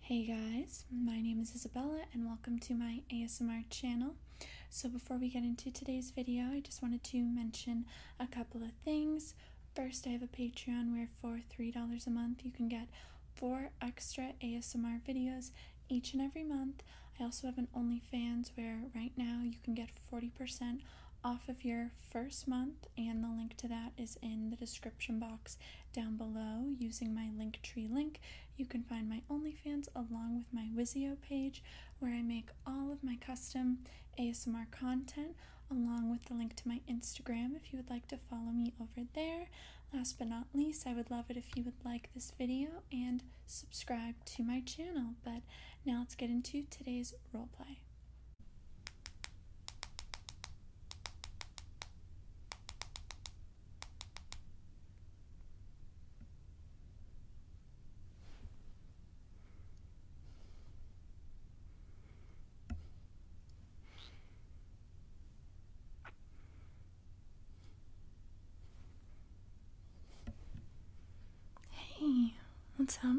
Hey guys, my name is Isabella and welcome to my ASMR channel. So before we get into today's video, I just wanted to mention a couple of things. First, I have a Patreon where for $3 a month you can get four extra ASMR videos each and every month. I also have an OnlyFans where right now you can get 40% off of your first month and the link to that is in the description box down below. Using my Linktree link, you can find my OnlyFans along with my Wizio page where I make all of my custom ASMR content along with the link to my Instagram if you would like to follow me over there. Last but not least, I would love it if you would like this video and subscribe to my channel. But now let's get into today's roleplay. Hey, what's up?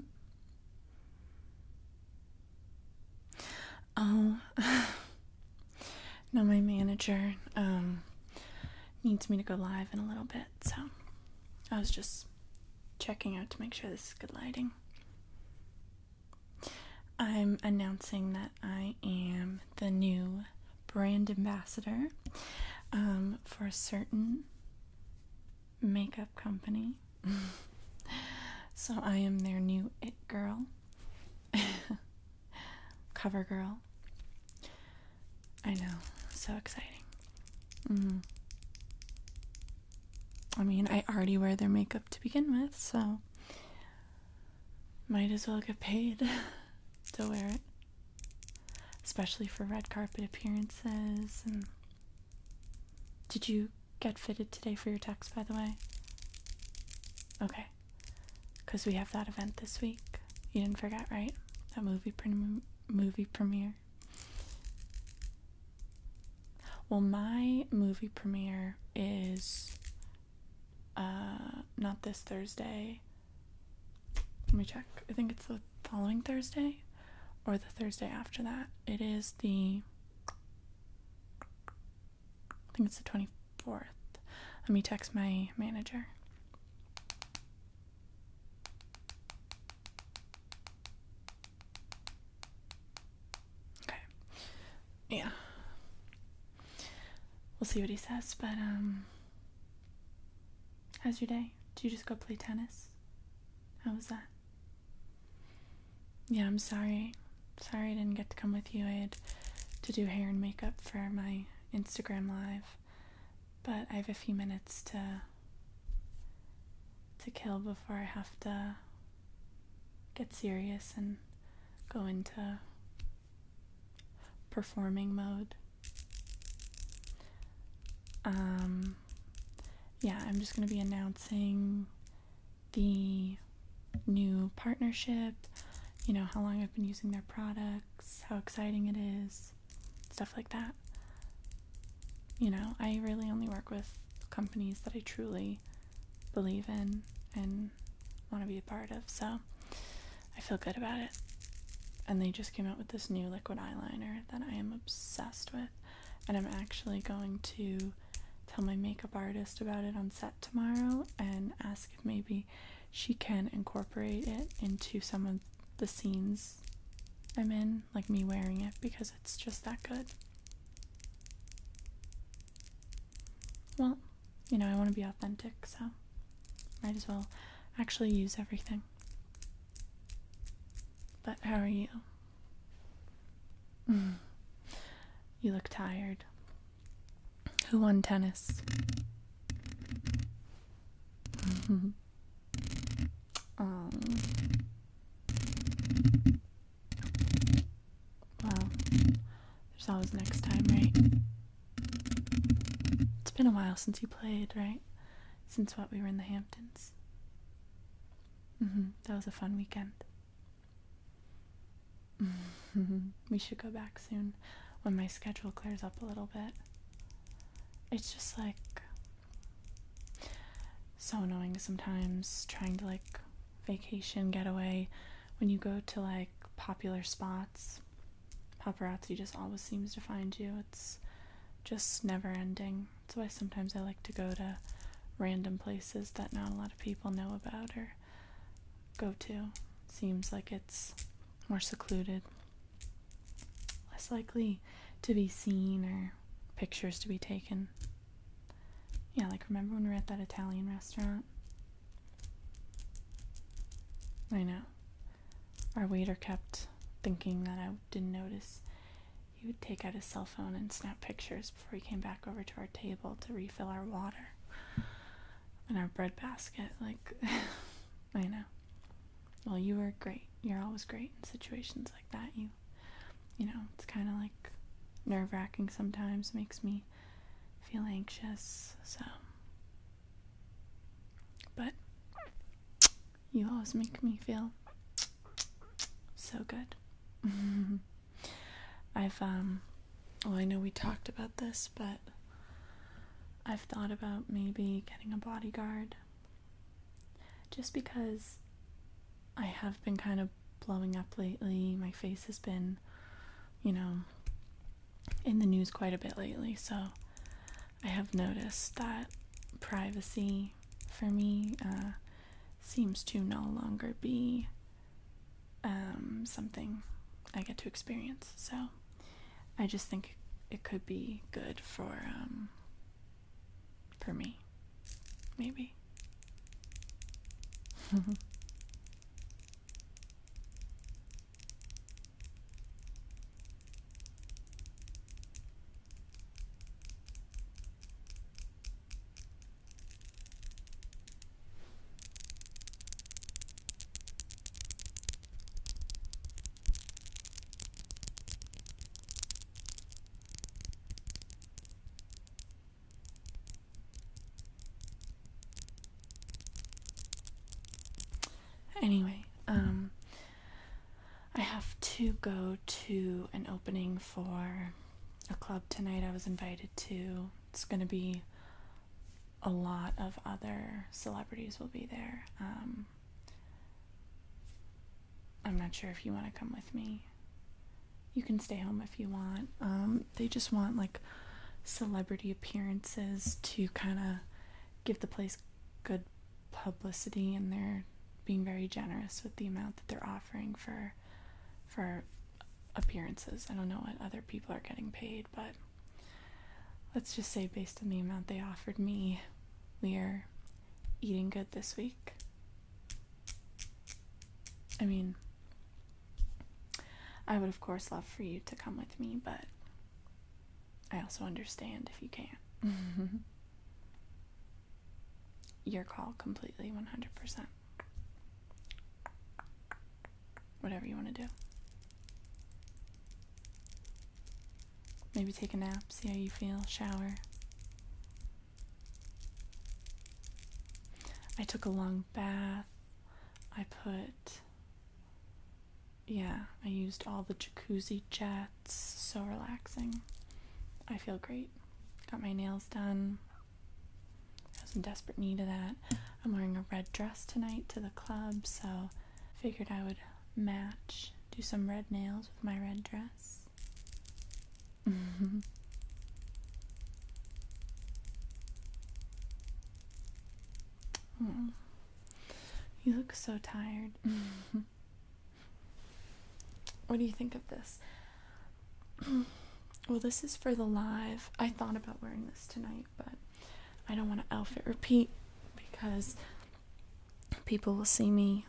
Oh, no, my manager um, needs me to go live in a little bit, so I was just checking out to make sure this is good lighting. I'm announcing that I am the new brand ambassador um, for a certain makeup company. so I am their new it girl. Cover girl. I know. So exciting. Mm-hmm. I mean, I already wear their makeup to begin with, so might as well get paid to wear it. Especially for red carpet appearances and Did you get fitted today for your text by the way? Okay because we have that event this week. You didn't forget, right? That movie prem movie premiere. Well, my movie premiere is uh not this Thursday. Let me check. I think it's the following Thursday or the Thursday after that. It is the I think it's the 24th. Let me text my manager. Okay. Yeah. We'll see what he says, but, um, how's your day? Did you just go play tennis? How was that? yeah, I'm sorry. Sorry I didn't get to come with you. I had to do hair and makeup for my Instagram live. But I have a few minutes to to kill before I have to get serious and go into performing mode. Um, yeah, I'm just going to be announcing the new partnership, you know, how long I've been using their products, how exciting it is, stuff like that. You know, I really only work with companies that I truly believe in and want to be a part of, so I feel good about it. And they just came out with this new liquid eyeliner that I am obsessed with, and I'm actually going to tell my makeup artist about it on set tomorrow and ask if maybe she can incorporate it into some of the scenes I'm in, like me wearing it, because it's just that good. Well, you know, I want to be authentic, so might as well actually use everything. But how are you? you look tired. Who won tennis? Mm-hmm. Um, well, there's always next time, right? It's been a while since you played, right? Since what we were in the Hamptons. Mm-hmm. That was a fun weekend. we should go back soon when my schedule clears up a little bit. It's just like so annoying sometimes trying to like vacation getaway when you go to like popular spots. Paparazzi just always seems to find you. It's just never ending. That's why sometimes I like to go to random places that not a lot of people know about or go to. Seems like it's more secluded, less likely to be seen or pictures to be taken. Yeah, like remember when we were at that Italian restaurant? I know. Our waiter kept thinking that I didn't notice. He would take out his cell phone and snap pictures before we came back over to our table to refill our water and our bread basket. Like, I know. Well, you were great. You're always great in situations like that. You, you know, it's kind of like nerve wracking sometimes, makes me feel anxious. So, but you always make me feel so good. I've, um, well, I know we talked about this, but I've thought about maybe getting a bodyguard. Just because I have been kind of blowing up lately, my face has been, you know, in the news quite a bit lately, so I have noticed that privacy for me uh, seems to no longer be um, something I get to experience. So I just think it could be good for um, for me, maybe. Anyway, um, I have to go to an opening for a club tonight I was invited to it's going to be a lot of other celebrities will be there. Um, I'm not sure if you want to come with me. You can stay home if you want. Um, they just want like celebrity appearances to kind of give the place good publicity, and they're being very generous with the amount that they're offering for for appearances. I don't know what other people are getting paid, but let's just say based on the amount they offered me, we are eating good this week. I mean, I would of course love for you to come with me, but I also understand if you can't. Your call completely 100%. Whatever you want to do. Maybe take a nap, see how you feel, shower. I took a long bath. I put. Yeah, I used all the jacuzzi jets. So relaxing. I feel great. Got my nails done. I was in desperate need of that. I'm wearing a red dress tonight to the club, so figured I would match, do some red nails with my red dress. Mm. you look so tired. what do you think of this? well, this is for the live. I thought about wearing this tonight, but I don't want to outfit repeat because people will see me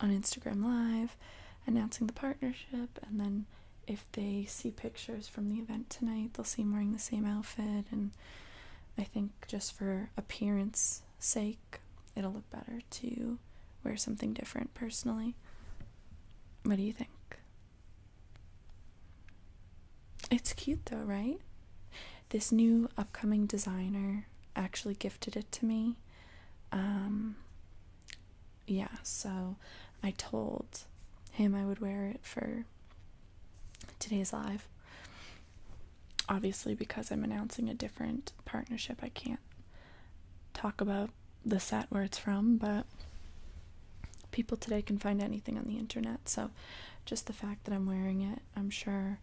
on Instagram Live announcing the partnership, and then if they see pictures from the event tonight, they'll see me wearing the same outfit. And I think just for appearance sake, it'll look better to wear something different personally. What do you think? It's cute though, right? This new upcoming designer actually gifted it to me. Um, yeah, so I told him I would wear it for today's live. Obviously, because I'm announcing a different partnership, I can't talk about the set where it's from, but people today can find anything on the internet. So, just the fact that I'm wearing it, I'm sure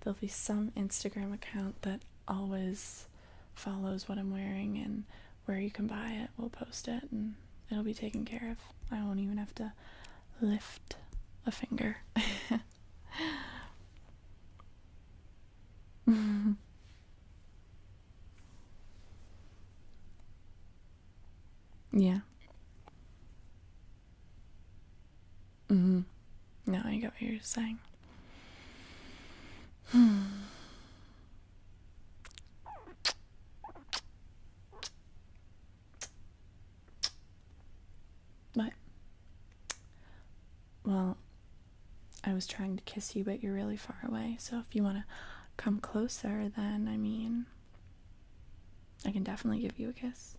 there'll be some Instagram account that always follows what I'm wearing and where you can buy it. We'll post it and it'll be taken care of. I won't even have to lift a finger. Yeah. Mm-hmm. No, I get what you're saying. Hmm. What? Well, I was trying to kiss you, but you're really far away, so if you want to come closer, then I mean, I can definitely give you a kiss.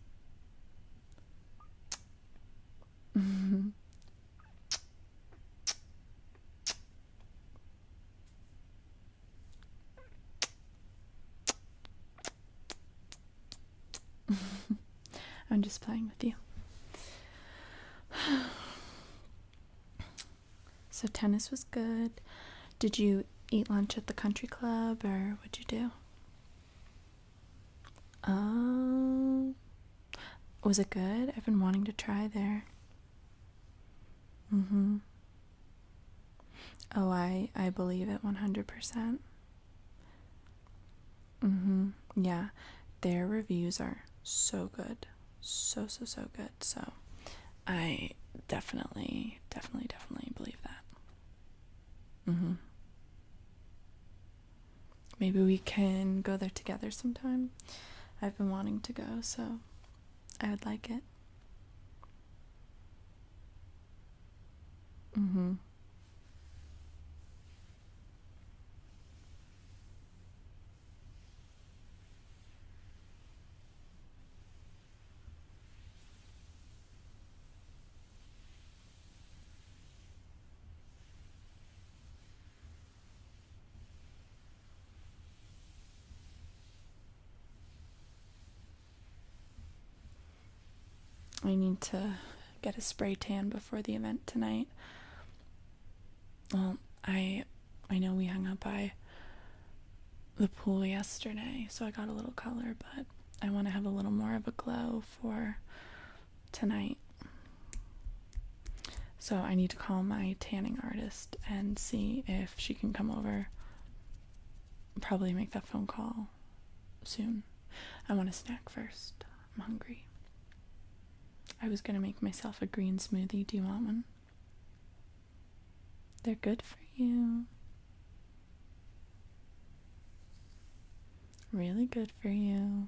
I'm just playing with you. So tennis was good. Did you eat lunch at the country club or what'd you do? Oh, was it good? I've been wanting to try there. Mm-hmm. Oh, I I believe it 100%. Mm-hmm. Yeah. Their reviews are so good so so so good. So I definitely definitely definitely believe that. Mhm. Maybe we can go there together sometime. I've been wanting to go, so I would like it. Mhm. I need to get a spray tan before the event tonight. Well, I I know we hung up by the pool yesterday, so I got a little color, but I want to have a little more of a glow for tonight. So I need to call my tanning artist and see if she can come over. Probably make that phone call soon. I want a snack first. I'm hungry. I was going to make myself a green smoothie. Do you want one? They're good for you. Really good for you.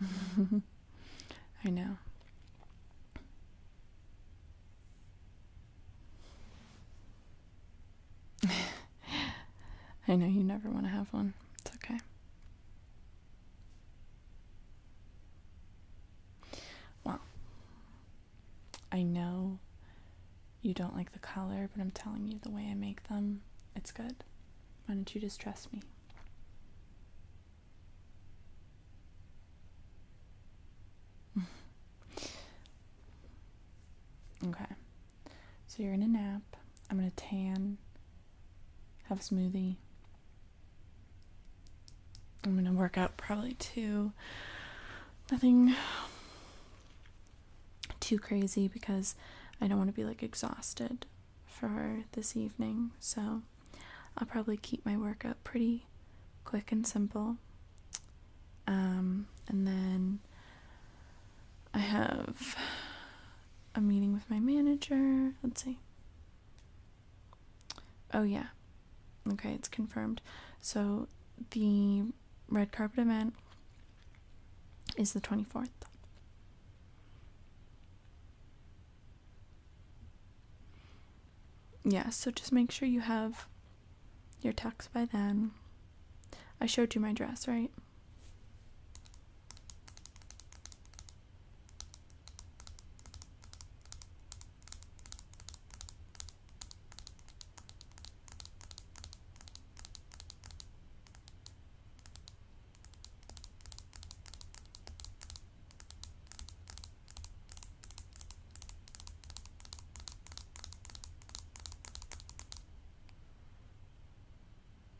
I know. I know you never want to have one. It's okay. Well, I know you don't like the color, but I'm telling you the way I make them, it's good. Why don't you just trust me? okay. So you're gonna nap. I'm gonna tan, have a smoothie, I'm gonna work out probably two. Nothing too crazy because I don't want to be like exhausted for this evening. So I'll probably keep my workout pretty quick and simple. Um, and then I have a meeting with my manager. Let's see. Oh, yeah. Okay, it's confirmed. So the red carpet event is the 24th. Yeah, so just make sure you have your tux by then. I showed you my dress, right?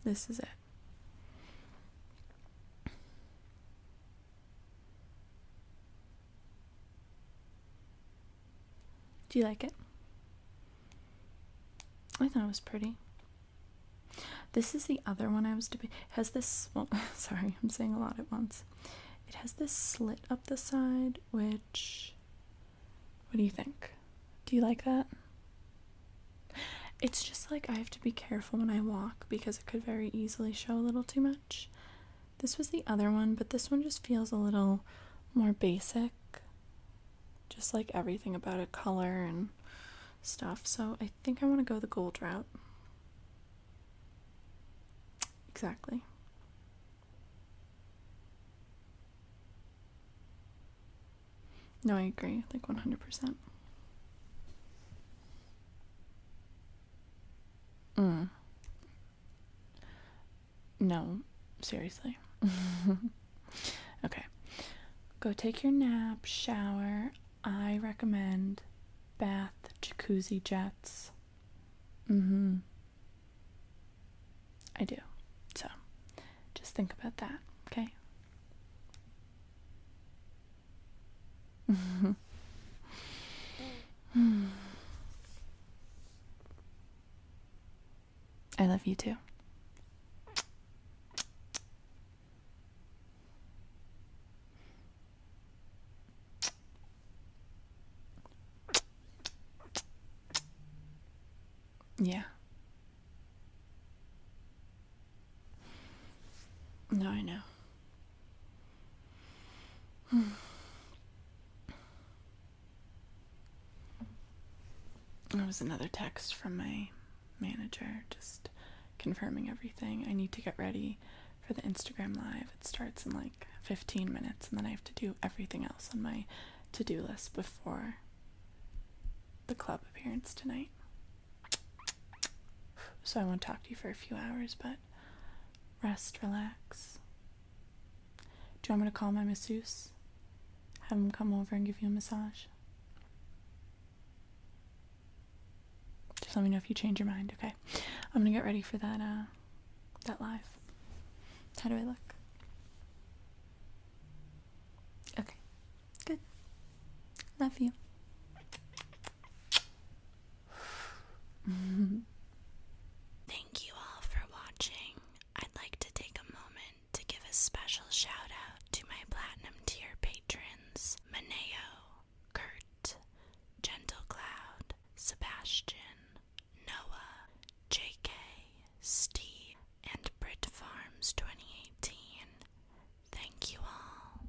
This is it. Do you like it? I thought it was pretty. This is the other one I was doing. Has this? Well, sorry, I'm saying a lot at once. It has this slit up the side, which. What do you think? Do you like that? It's just like I have to be careful when I walk because it could very easily show a little too much. This was the other one, but this one just feels a little more basic. Just like everything about it, color and stuff. So I think I want to go the gold route. Exactly. No, I agree, like 100%. Mm. No, seriously. okay. Go take your nap, shower. I recommend bath, jacuzzi jets. Mhm. I do. So, just think about that, okay? I love you too. Yeah. No, I know. There was another text from my manager just confirming everything. I need to get ready for the Instagram live. It starts in like 15 minutes and then I have to do everything else on my to-do list before the club appearance tonight. So I won't talk to you for a few hours, but rest, relax. Do you want me to call my masseuse? Have him come over and give you a massage? Just let me know if you change your mind, okay? I'm gonna get ready for that uh that live. How do I look? Okay. Good. Love you. Thank you all for watching. I'd like to take a moment to give a special shout out to my platinum tier patrons Maneo, Kurt, Gentle Cloud, Sebastian, Noah, JK, Steve, and Brit Farms 2018. Thank you all.